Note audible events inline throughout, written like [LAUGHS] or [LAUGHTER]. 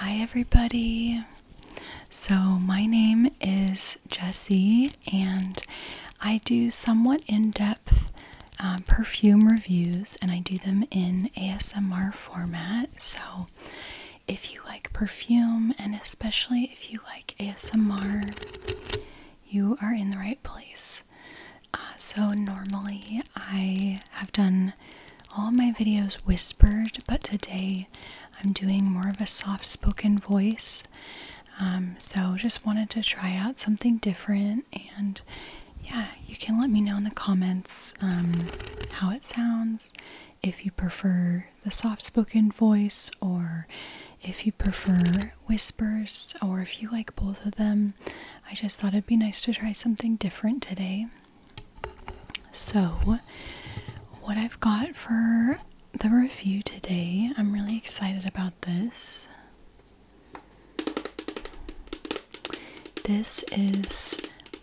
Hi, everybody. So, my name is Jesse, and I do somewhat in depth um, perfume reviews, and I do them in ASMR format. So, if you like perfume, and especially if you like ASMR, you are in the right place. Uh, so, normally I have done all my videos whispered, but today I'm doing more of a soft spoken voice. Um, so, just wanted to try out something different. And yeah, you can let me know in the comments um, how it sounds, if you prefer the soft spoken voice, or if you prefer whispers, or if you like both of them. I just thought it'd be nice to try something different today. So, what I've got for the review today, I'm really excited about this. This is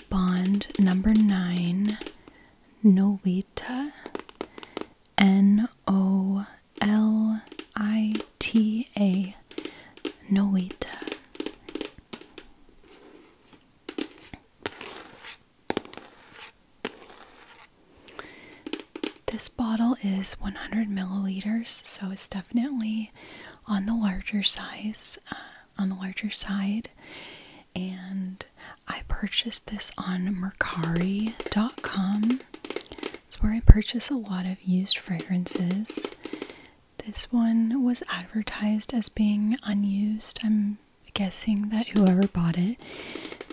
Bond number nine, Nolita, N O L I T A, Nolita. This bottle is 100 milliliters, so it's definitely on the larger size, uh, on the larger side. And I purchased this on Mercari.com. It's where I purchase a lot of used fragrances. This one was advertised as being unused. I'm guessing that whoever bought it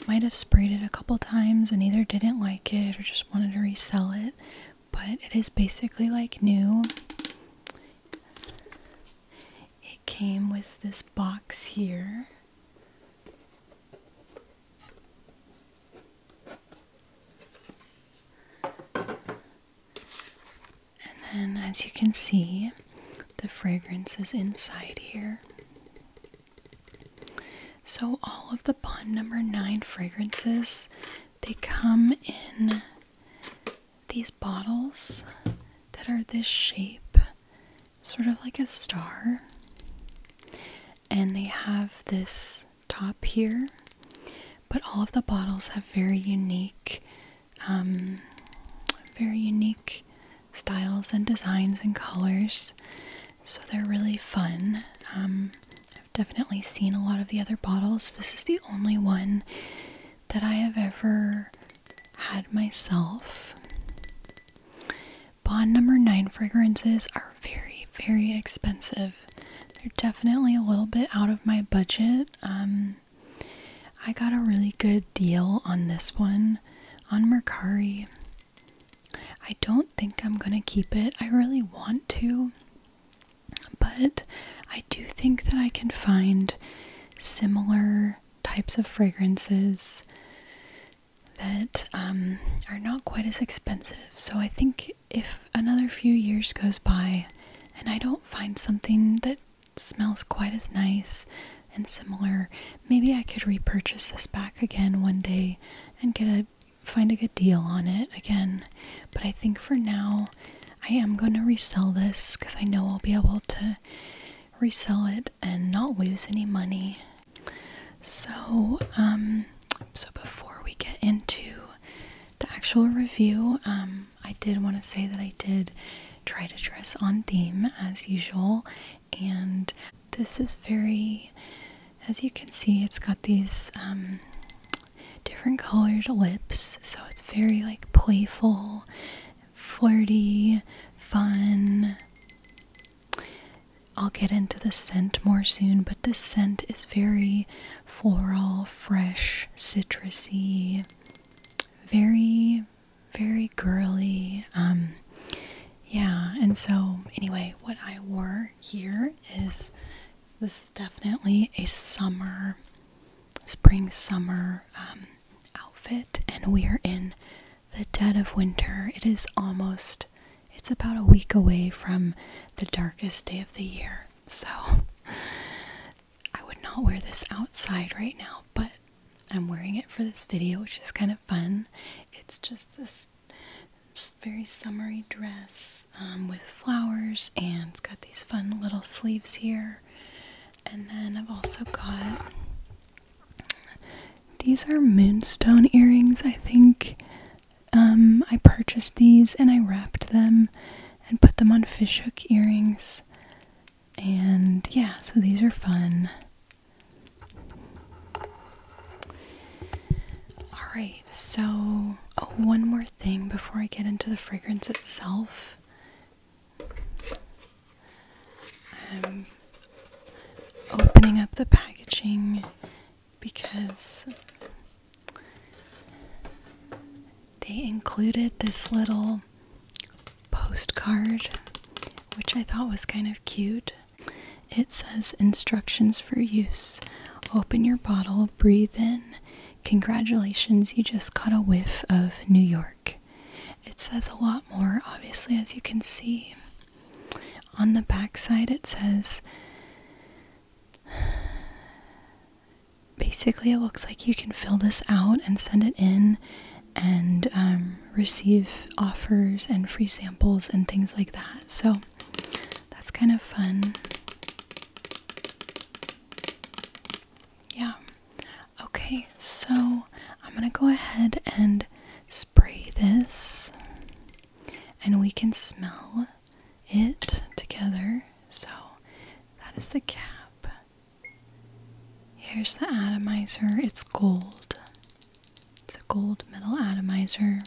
might have sprayed it a couple times and either didn't like it or just wanted to resell it. But it is basically like new. It came with this box here. And then, as you can see, the fragrance is inside here. So, all of the Bond number nine fragrances they come in these bottles that are this shape, sort of like a star, and they have this top here, but all of the bottles have very unique, um, very unique styles and designs and colors. So they're really fun. Um, I've definitely seen a lot of the other bottles. This is the only one that I have ever had myself. Bond number nine fragrances are very, very expensive. They're definitely a little bit out of my budget. Um, I got a really good deal on this one on Mercari. I don't think I'm gonna keep it. I really want to, but I do think that I can find similar types of fragrances that um, are not quite as expensive. So I think if another few years goes by and I don't find something that smells quite as nice and similar, maybe I could repurchase this back again one day and get a find a good deal on it again. But I think for now I am going to resell this cuz I know I'll be able to resell it and not lose any money. So, um, so before we get into the actual review, um, I did want to say that I did try to dress on theme as usual, and this is very, as you can see, it's got these um, different colored lips, so it's very like playful, flirty, fun. I'll get into the scent more soon, but this scent is very floral, fresh, citrusy, very, very girly. Um, yeah, and so anyway, what I wore here is this is definitely a summer, spring summer um, outfit, and we are in the dead of winter. It is almost it's about a week away from the darkest day of the year. So I would not wear this outside right now, but I'm wearing it for this video, which is kind of fun. It's just this, very summery dress um, with flowers, and it's got these fun little sleeves here. And then I've also got these are moonstone earrings, I think. Um, I purchased these and I wrapped them and put them on fishhook earrings. And yeah, so these are fun. Alright, so oh, one more thing before I get into the fragrance itself. I'm opening up the packaging because they included this little postcard, which I thought was kind of cute. It says instructions for use. Open your bottle, breathe in. Congratulations, you just caught a whiff of New York. It says a lot more, obviously, as you can see. On the back side, it says Basically, it looks like you can fill this out and send it in and um, receive offers and free samples and things like that. So that's kind of fun. Yeah. Okay, so I'm going to go ahead and spray this and we can smell it together. So that is the cap. Here's the atomizer. It's gold. It's a gold metal atomizer.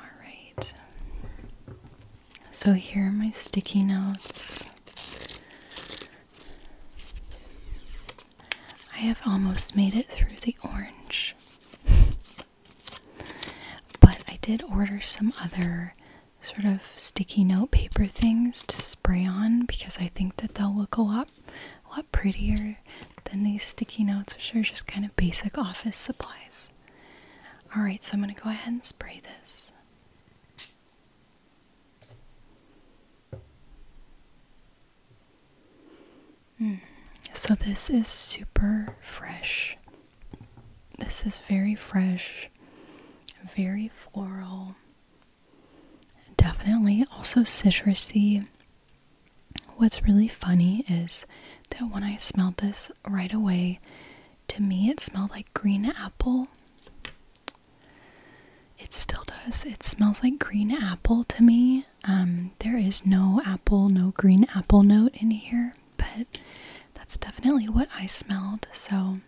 Alright. So here are my sticky notes. I have almost made it through the orange. [LAUGHS] but I did order some other sort of sticky note paper things to spray on because I think that they'll look a lot a lot prettier than these sticky notes, which are just kind of basic office supplies. Alright, so I'm gonna go ahead and spray this. Hmm. So, this is super fresh. This is very fresh, very floral, definitely also citrusy. What's really funny is that when I smelled this right away, to me it smelled like green apple. It still does. It smells like green apple to me. Um, there is no apple, no green apple note in here, but that's definitely what I smelled. So,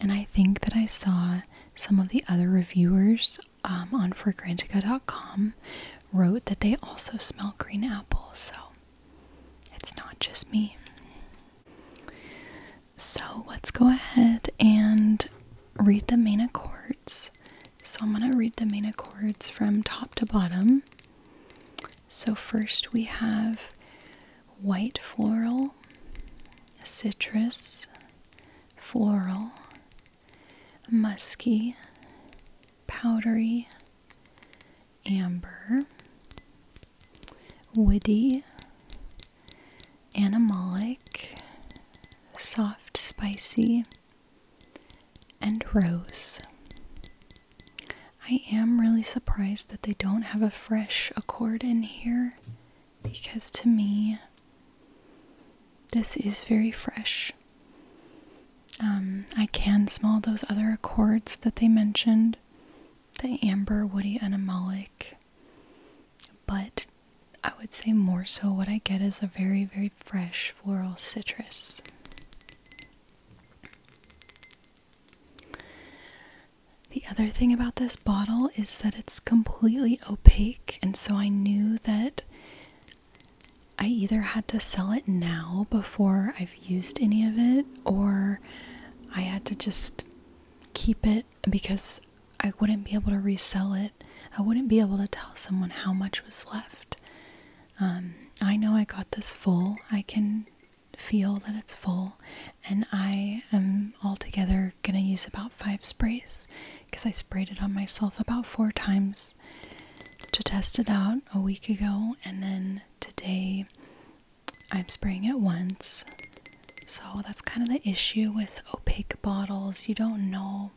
and I think that I saw some of the other reviewers um, on fragrantica.com wrote that they also smell green apple. So, it's not just me so let's go ahead and read the main accords. So I'm going to read the main accords from top to bottom. So first we have white floral, citrus, floral, musky, powdery, amber, woody, animalic, soft, spicy, and rose. I am really surprised that they don't have a fresh accord in here because to me, this is very fresh. Um, I can smell those other accords that they mentioned the amber, woody, and but I would say more so what I get is a very, very fresh floral citrus. The other thing about this bottle is that it's completely opaque, and so I knew that I either had to sell it now before I've used any of it, or I had to just keep it because I wouldn't be able to resell it. I wouldn't be able to tell someone how much was left. Um, I know I got this full. I can feel that it's full, and I am altogether gonna use about five sprays because I sprayed it on myself about four times to test it out a week ago, and then today I'm spraying it once so that's kind of the issue with opaque bottles. You don't know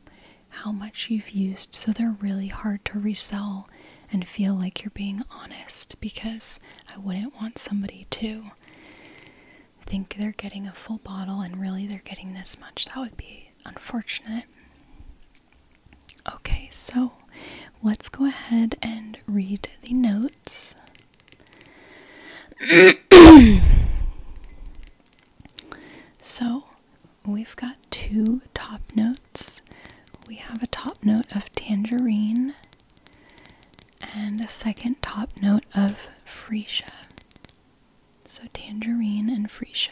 how much you've used, so they're really hard to resell and feel like you're being honest because I wouldn't want somebody to think they're getting a full bottle and really they're getting this much. That would be unfortunate. Okay, so let's go ahead and read the notes. [COUGHS] so we've got two top notes. We have a top note of tangerine and a second top note of freesia. So tangerine and freesia.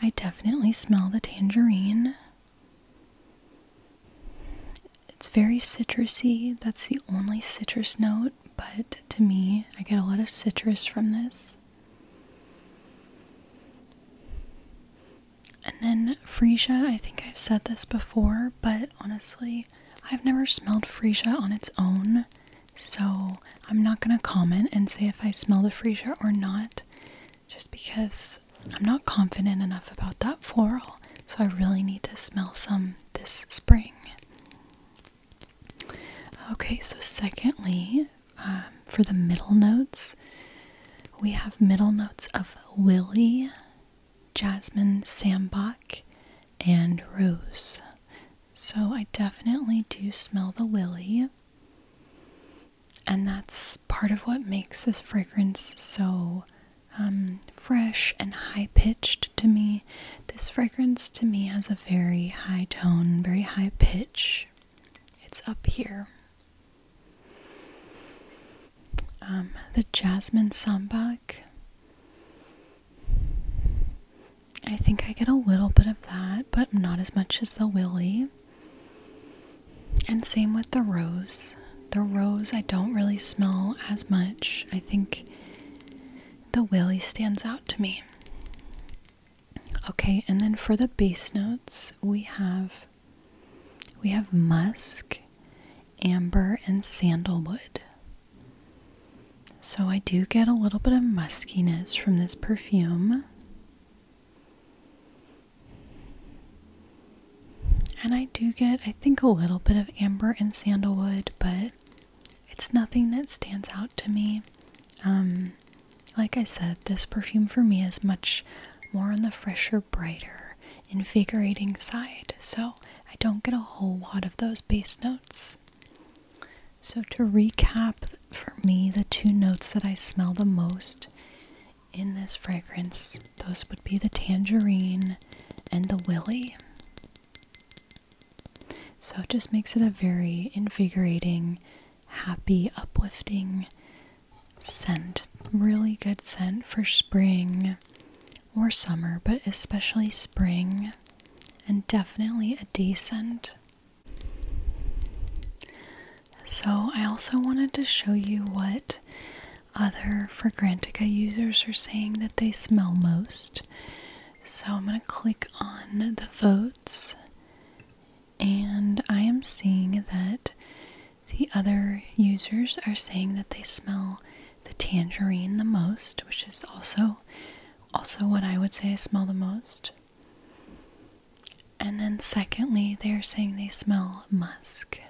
I definitely smell the tangerine. It's very citrusy. That's the only citrus note, but to me, I get a lot of citrus from this. And then freesia, I think I've said this before, but honestly, I've never smelled freesia on its own, so I'm not going to comment and say if I smell the freesia or not just because I'm not confident enough about that floral. So I really need to smell some this spring. Okay, so secondly, um, for the middle notes, we have middle notes of willie, Jasmine, Sambach, and Rose. So I definitely do smell the willie, And that's part of what makes this fragrance so um, fresh and high pitched to me. This fragrance to me has a very high tone, very high pitch. It's up here. Um, the jasmine sambac. I think I get a little bit of that, but not as much as the willy. And same with the rose. The rose I don't really smell as much. I think the willy stands out to me. Okay, and then for the base notes, we have we have musk, amber, and sandalwood. So I do get a little bit of muskiness from this perfume. And I do get, I think, a little bit of amber and sandalwood, but it's nothing that stands out to me. Um, like I said, this perfume for me is much more on the fresher, brighter, invigorating side, so I don't get a whole lot of those base notes. So, to recap, for me, the two notes that I smell the most in this fragrance, those would be the tangerine and the willy. So it just makes it a very invigorating, happy, uplifting scent. Really good scent for spring or summer, but especially spring, and definitely a day scent. So, I also wanted to show you what other Fragrantica users are saying that they smell most. So, I'm going to click on the votes, and I am seeing that the other users are saying that they smell the tangerine the most, which is also also what I would say I smell the most. And then, secondly, they're saying they smell musk.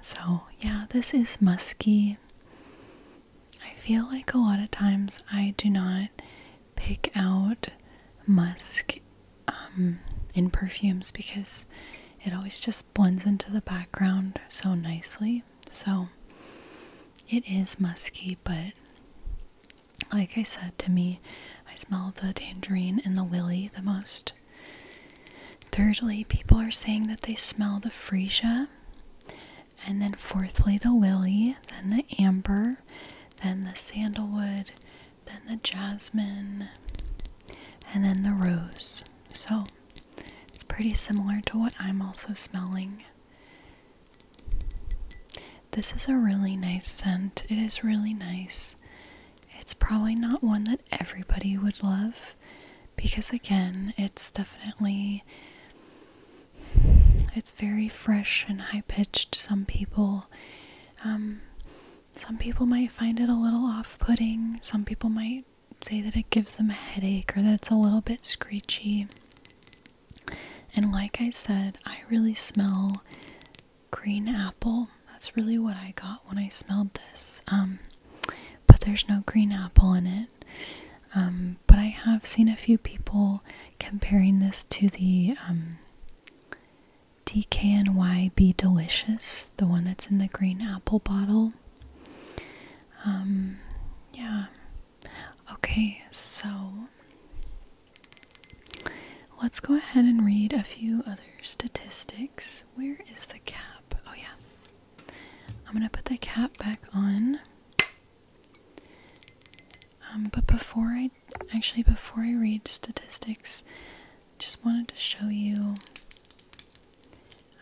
So, yeah, this is musky. I feel like a lot of times I do not pick out musk um, in perfumes because it always just blends into the background so nicely. So, it is musky, but like I said to me, I smell the tangerine and the willy the most. Thirdly, people are saying that they smell the freesia. And then, fourthly, the willy, then the amber, then the sandalwood, then the jasmine, and then the rose. So, it's pretty similar to what I'm also smelling. This is a really nice scent. It is really nice. It's probably not one that everybody would love because again, it's definitely it's very fresh and high pitched. Some people um some people might find it a little off-putting. Some people might say that it gives them a headache or that it's a little bit screechy. And like I said, I really smell green apple. That's really what I got when I smelled this. Um, but there's no green apple in it. Um, but I have seen a few people comparing this to the um, DKNY Be Delicious, the one that's in the green apple bottle. Um, yeah. Okay, so Let's go ahead and read a few other statistics. Where is the cap? Oh, yeah. I'm going to put the cap back on. Um, but before I actually, before I read statistics, just wanted to show you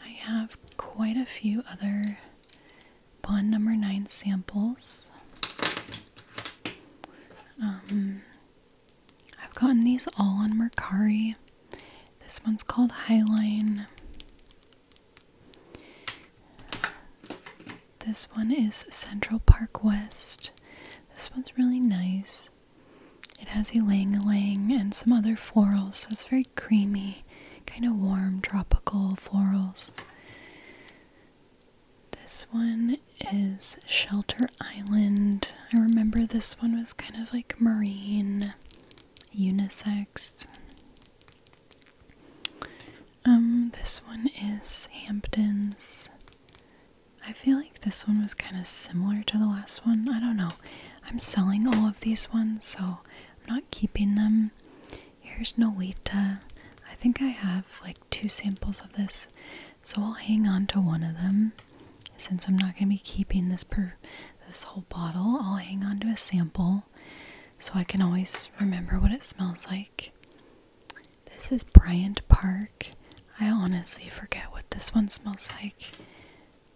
I have quite a few other bond number nine samples. Um, I've gotten these all on Mercari. This one's called Highline. This one is Central Park West. This one's really nice. It has ylang ylang and some other florals, so it's very creamy, kind of warm, tropical florals. This one is Shelter Island. I remember this one was kind of like marine, unisex. Um, this one is Hamptons. I feel like this one was kind of similar to the last one. I don't know. I'm selling all of these ones, so I'm not keeping them. Here's Nolita. I think I have like two samples of this, so I'll hang on to one of them. Since I'm not going to be keeping this per this whole bottle, I'll hang on to a sample so I can always remember what it smells like. This is Bryant Park. I honestly forget what this one smells like.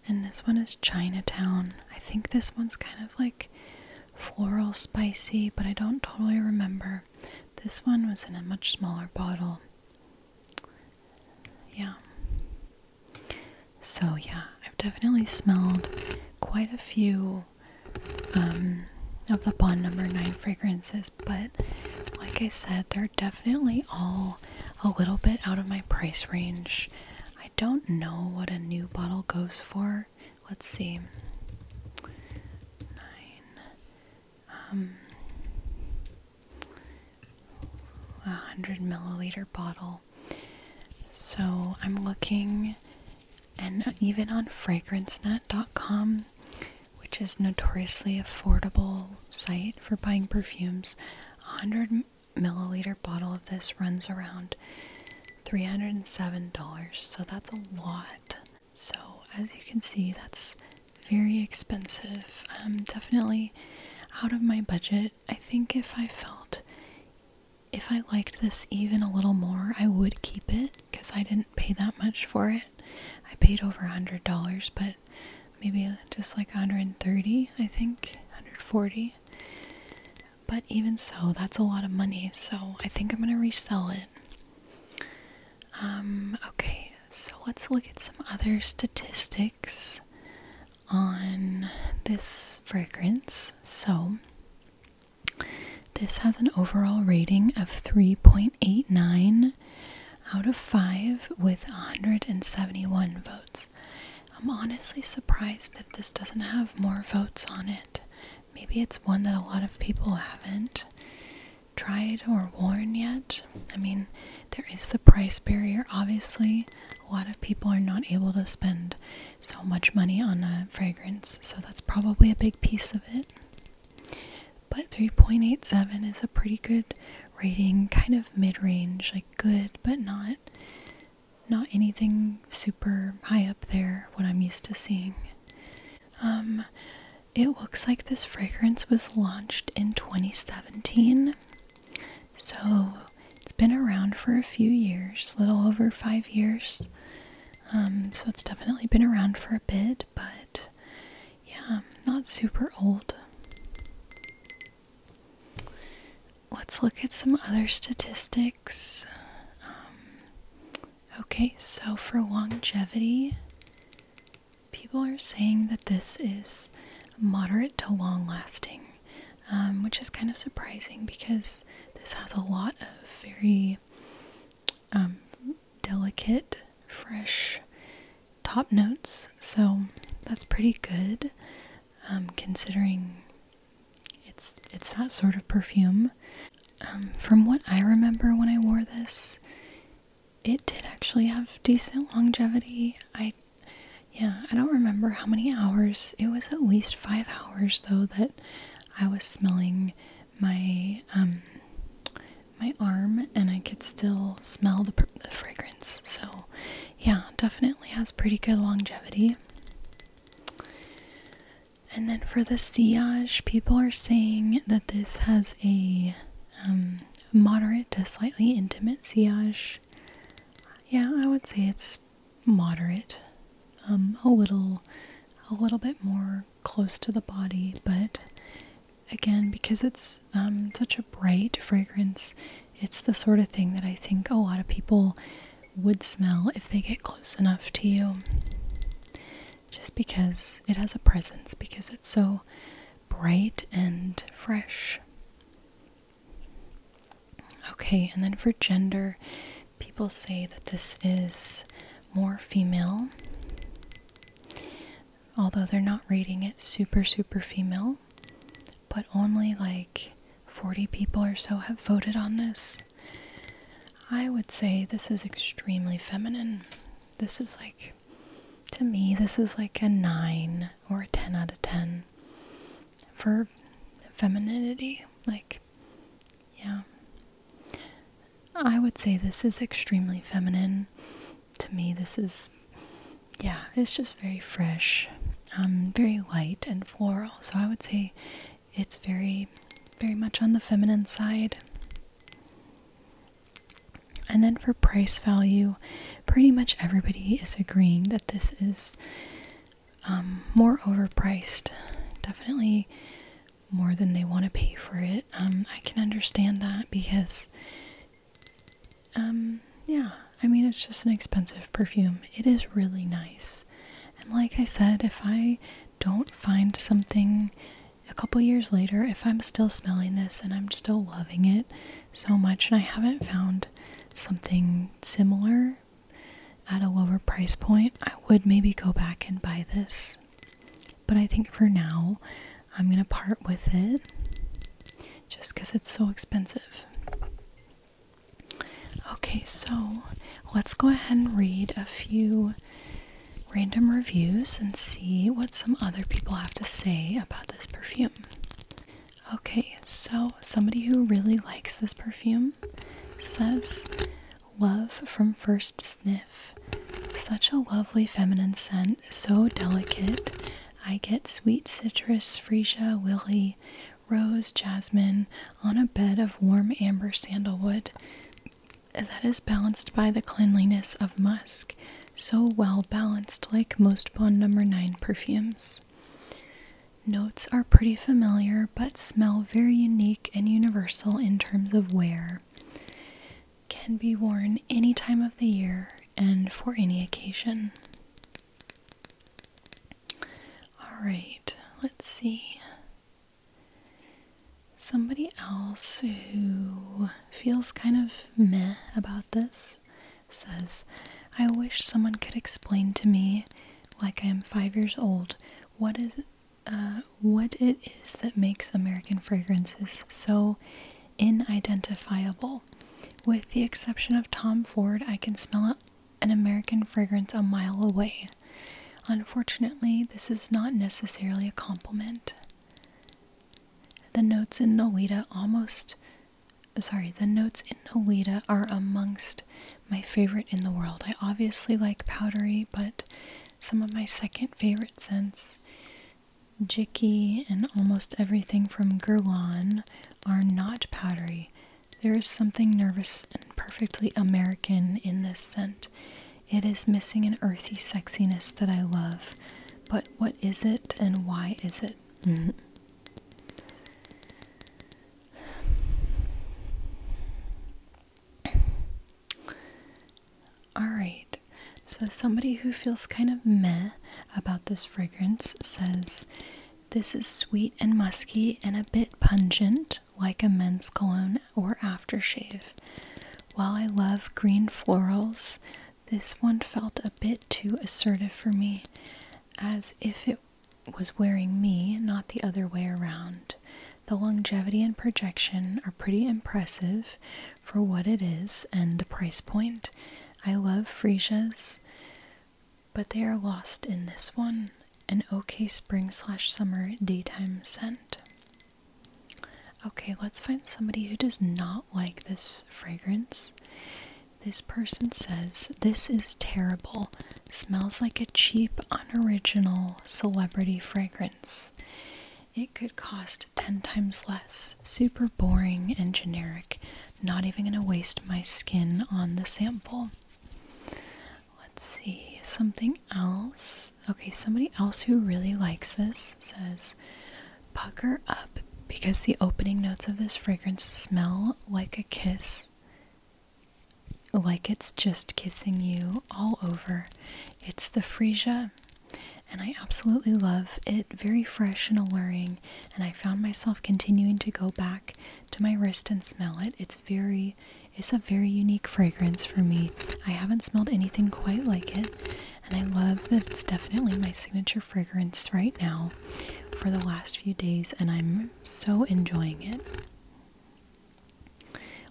And this one is Chinatown. I think this one's kind of like floral spicy, but I don't totally remember. This one was in a much smaller bottle. Yeah. So, yeah, I've definitely smelled quite a few um, of the Bond number 9 fragrances, but like I said, they're definitely all a little bit out of my price range. I don't know what a new bottle goes for Let's see. Nine. Um, a hundred milliliter bottle. So I'm looking, and even on FragranceNet.com, which is notoriously affordable site for buying perfumes, a hundred milliliter bottle of this runs around $307. So that's a lot. So as you can see, that's very expensive. definitely out of my budget. I think if I felt if I liked this even a little more, I would keep it because I didn't pay that much for it. I paid over a hundred dollars, but maybe just like a 130, I think 140. But even so, that's a lot of money. So I think I'm gonna resell it. Um, okay, so let's look at some other statistics on this fragrance. So, this has an overall rating of 3.89 out of 5 with 171 votes. I'm honestly surprised that this doesn't have more votes on it Maybe it's one that a lot of people haven't tried or worn yet. I mean, there is the price barrier, obviously. A lot of people are not able to spend so much money on a fragrance, so that's probably a big piece of it. But 3.87 is a pretty good rating, kind of mid-range, like good, but not not anything super high up there what I'm used to seeing. Um, it looks like this fragrance was launched in 2017. So it's been around for a few years, little over five years. Um, so it's definitely been around for a bit, but yeah, not super old. Let's look at some other statistics. Um, Okay, so for longevity, people are saying that this is moderate to long lasting, um, which is kind of surprising because this has a lot of very um, delicate, fresh top notes, so that's pretty good um, considering it's it's that sort of perfume. Um, from what I remember when I wore this, it did actually have decent longevity. I yeah, I don't remember how many hours. It was at least five hours though that I was smelling my um, my arm, and I could still smell the fragrance. So yeah, definitely has pretty good longevity. And then for the sillage, people are saying that this has a um, moderate to slightly intimate sillage. Yeah, I would say it's moderate. Um, a little, a little bit more close to the body, but again, because it's um, such a bright fragrance, it's the sort of thing that I think a lot of people would smell if they get close enough to you. Just because it has a presence, because it's so bright and fresh. Okay, and then for gender, people say that this is more female, although they're not rating it super, super female, but only like 40 people or so have voted on this. I would say this is extremely feminine. This is like, to me, this is like a 9 or a 10 out of 10 for femininity. Like, yeah. I would say this is extremely feminine. To me, this is, yeah, it's just very fresh, um, very light and floral. So I would say it's very, very much on the feminine side. And then for price value, pretty much everybody is agreeing that this is um, more overpriced. Definitely more than they want to pay for it. Um, I can understand that because, um, yeah, I mean, it's just an expensive perfume. It is really nice. And like I said, if I don't find something a couple years later, if I'm still smelling this and I'm still loving it so much, and I haven't found something similar at a lower price point, I would maybe go back and buy this. But I think for now, I'm gonna part with it just because it's so expensive. Okay, so let's go ahead and read a few random reviews and see what some other people have to say about this perfume. Okay, so somebody who really likes this perfume says, Love from first sniff. Such a lovely feminine scent, so delicate. I get sweet citrus, freesia, willy, rose, jasmine, on a bed of warm amber sandalwood that is balanced by the cleanliness of musk, so well balanced like most Bond Number 9 perfumes. Notes are pretty familiar but smell very unique and universal in terms of wear. Can be worn any time of the year and for any occasion. All right, let's see. Somebody else who feels kind of meh about this says, I wish someone could explain to me, like I am five years old, what is uh, what it is that makes American fragrances so inidentifiable. With the exception of Tom Ford, I can smell it an American fragrance a mile away. Unfortunately, this is not necessarily a compliment. The notes in Nolita almost sorry, the notes in Nolita are amongst my favorite in the world. I obviously like powdery, but some of my second favorite scents, Jicky and almost everything from Guerlain, are not powdery. There is something nervous and perfectly American in this scent. It is missing an earthy sexiness that I love. But what is it and why is it? Mm-hmm. Alright, so somebody who feels kind of meh about this fragrance says this is sweet and musky and a bit pungent, like a men's cologne or aftershave. While I love green florals, this one felt a bit too assertive for me, as if it was wearing me, not the other way around. The longevity and projection are pretty impressive for what it is and the price point. I love freesias but they are lost in this one, an okay spring slash summer daytime scent. Okay, let's find somebody who does not like this fragrance. This person says, This is terrible. Smells like a cheap, unoriginal celebrity fragrance. It could cost 10 times less. Super boring and generic. Not even going to waste my skin on the sample. Let's see, something else. Okay, somebody else who really likes this says, Pucker up because the opening notes of this fragrance smell like a kiss, like it's just kissing you all over. It's the Freesia, and I absolutely love it. Very fresh and alluring, and I found myself continuing to go back to my wrist and smell it. It's very it's a very unique fragrance for me. I haven't smelled anything quite like it, and I love that it's definitely my signature fragrance right now for the last few days, and I'm so enjoying it.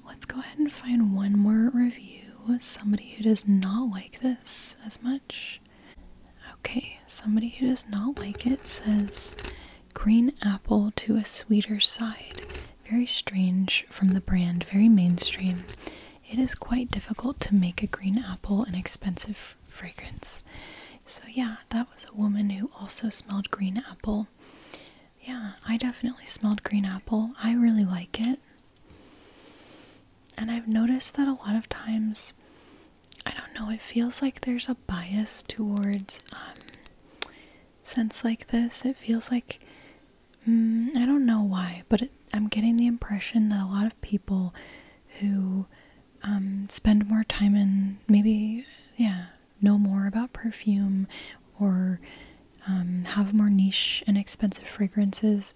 Let's go ahead and find one more review. Somebody who does not like this as much. Okay, somebody who does not like it says green apple to a sweeter side. Very strange from the brand, very mainstream. It is quite difficult to make a green apple an expensive fragrance. So, yeah, that was a woman who also smelled green apple. Yeah, I definitely smelled green apple. I really like it. And I've noticed that a lot of times I don't know, it feels like there's a bias towards um, sense like this. It feels like, mm, I don't know why, but I'm getting the impression that a lot of people who um, spend more time in maybe, yeah, know more about perfume or um, have more niche and expensive fragrances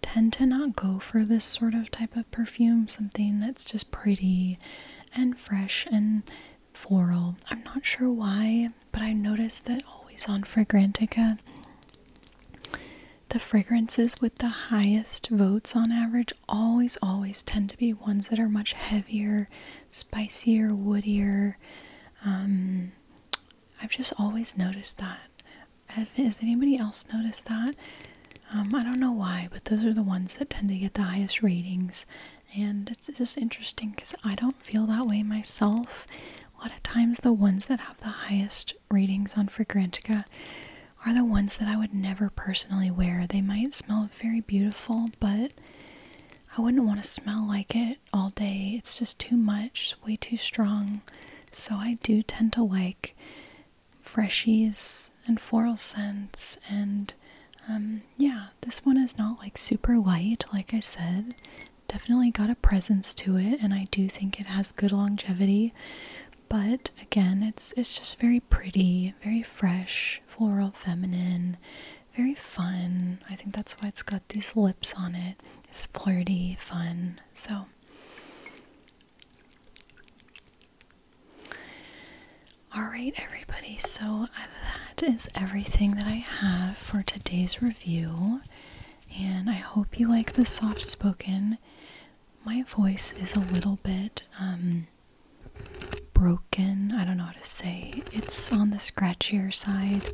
tend to not go for this sort of type of perfume, something that's just pretty and fresh and floral. I'm not sure why, but I noticed that always on Fragrantica, the fragrances with the highest votes on average always, always tend to be ones that are much heavier, spicier, woodier. Um, I've just always noticed that. Has anybody else noticed that? Um, I don't know why, but those are the ones that tend to get the highest ratings. And it's just interesting because I don't feel that way myself. A lot of times, the ones that have the highest ratings on Fragrantica are the ones that I would never personally wear. They might smell very beautiful, but I wouldn't want to smell like it all day. It's just too much, way too strong. So I do tend to like freshies and floral scents and um, yeah this one is not like super light like i said definitely got a presence to it and i do think it has good longevity but again it's it's just very pretty very fresh floral feminine very fun i think that's why it's got these lips on it it's flirty fun so Alright, everybody, so that is everything that I have for today's review, and I hope you like the soft spoken. My voice is a little bit um, broken, I don't know how to say. It's on the scratchier side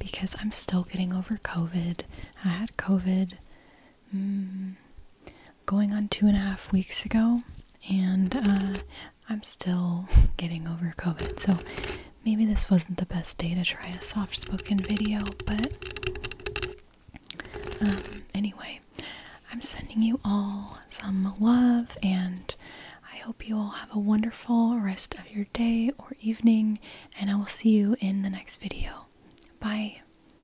because I'm still getting over COVID. I had COVID Mm, going on two and a half weeks ago, and uh, I'm still [LAUGHS] getting over COVID. So maybe this wasn't the best day to try a soft spoken video, but um, anyway, I'm sending you all some love, and I hope you all have a wonderful rest of your day or evening, and I will see you in the next video. Bye.